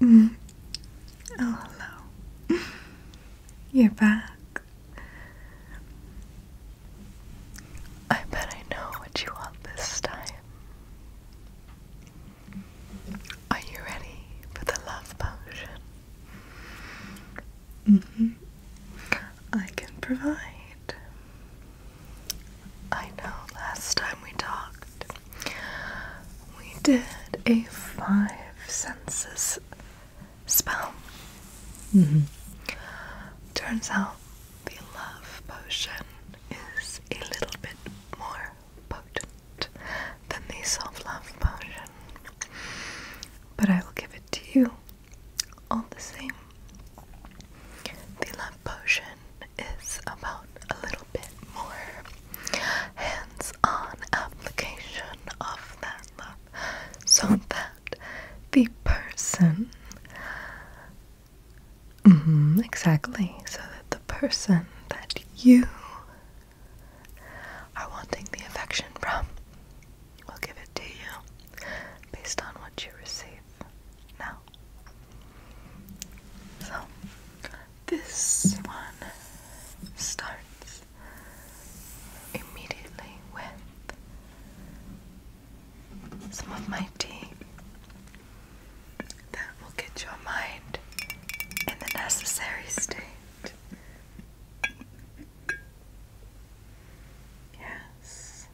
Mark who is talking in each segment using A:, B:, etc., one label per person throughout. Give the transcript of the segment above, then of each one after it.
A: Mm. Oh, hello. You're back. I bet I know what you want this time. Are you ready for the love potion? Mm hmm. I can provide. I know last time we talked, we did a five senses spell. Mm-hmm. Turns out the love potion is a little bit more potent than the self love potion, but I will give it to you all the same. The love potion is about a little bit more hands on application of that love so that the person, mm-hmm, exactly, so that the person that you are wanting the affection from will give it to you based on what you receive now. So this one starts immediately with some of my tea that will get your mind in the necessary state. Yes.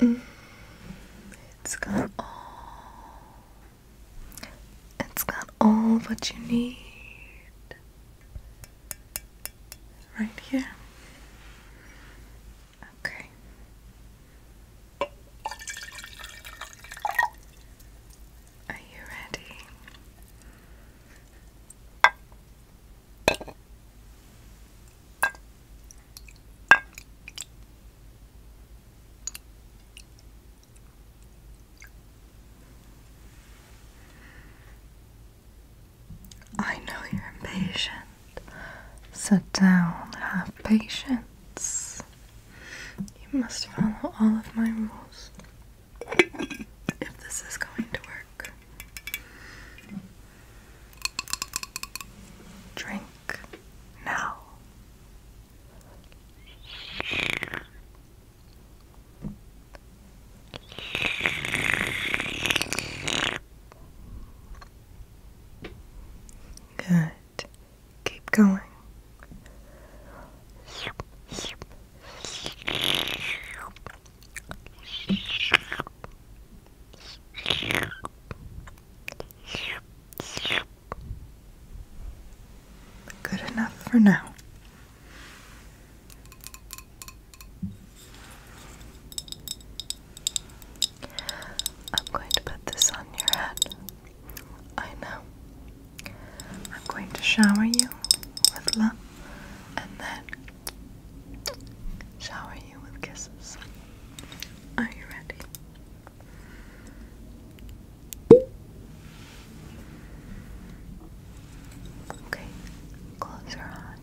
A: It's got all. It's got all what you need. Right here. Okay. Are you ready? I know you're impatient. Sit down, have patience. You must follow all of my rules if this is going to work. Drink now. Good. Keep going. Good enough for now. I'm going to put this on your head. I know. I'm going to shower you with love and then shower you with kisses. Are you ready? Okay, close your eyes.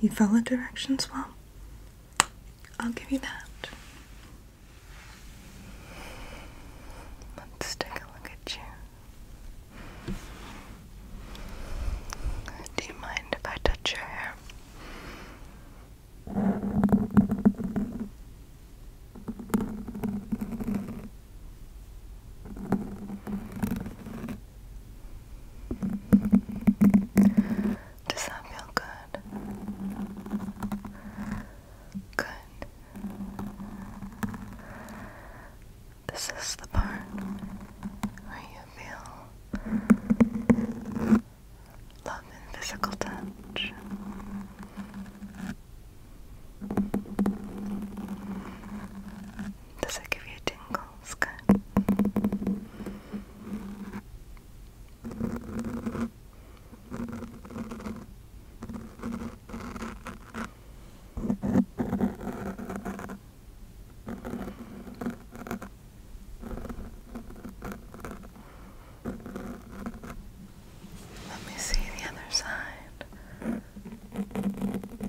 A: You follow directions well. I'll give you that. Let's take a look at you. Do you mind if I touch your hair? Does that feel good? Good. This is the part where you feel love and physical touch. Does it give you tingles? Good. Let me see the other side.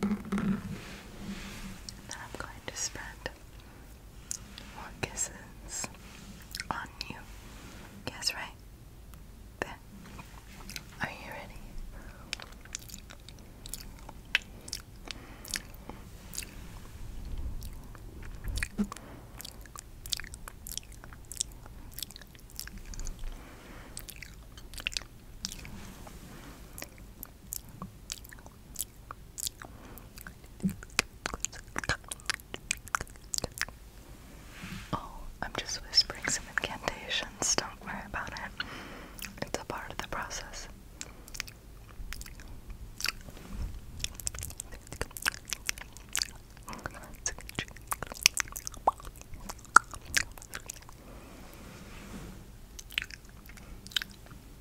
A: Then I'm going to spread more kisses on you. Guess right? There. Are you ready? Oh, I'm just whispering some incantations. Don't worry about it. It's a part of the process.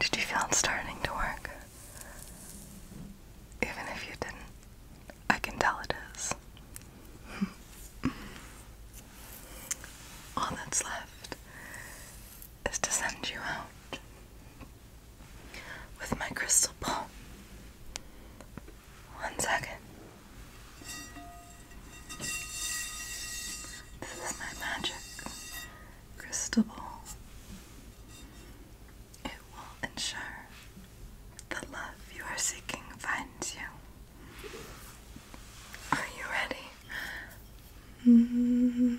A: Did you feel it starting to work? Even if you didn't? I can tell it is. All that's left is to send you out with my crystal ball. One second. This is my magic crystal ball. It will ensure the love you are seeking finds you. Are you ready? Mm -hmm.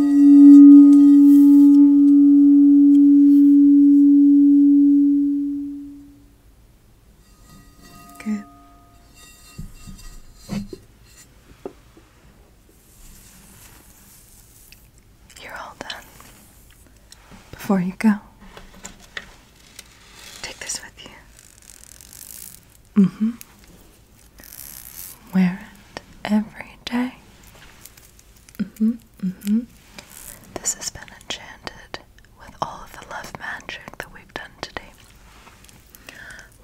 A: Good. You're all done. Before you go, take this with you. hmm. Wear it every day. hmm. Mm-hmm. This has been enchanted with all of the love magic that we've done today.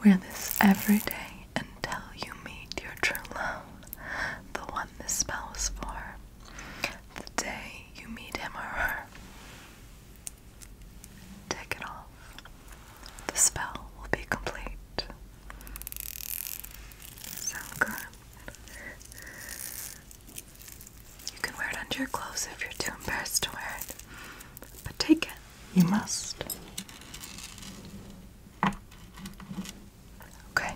A: Wear this every day until you meet your true love, the one this spell is for, the day you meet him or her. Take it off. The spell will be complete. So good. You can wear it under your clothes if you're too embarrassed to wear it. But take it. You must. Okay.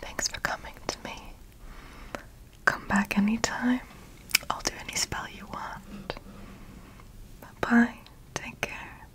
A: Thanks for coming to me. Come back anytime. I'll do any spell you want. Bye bye. Take care.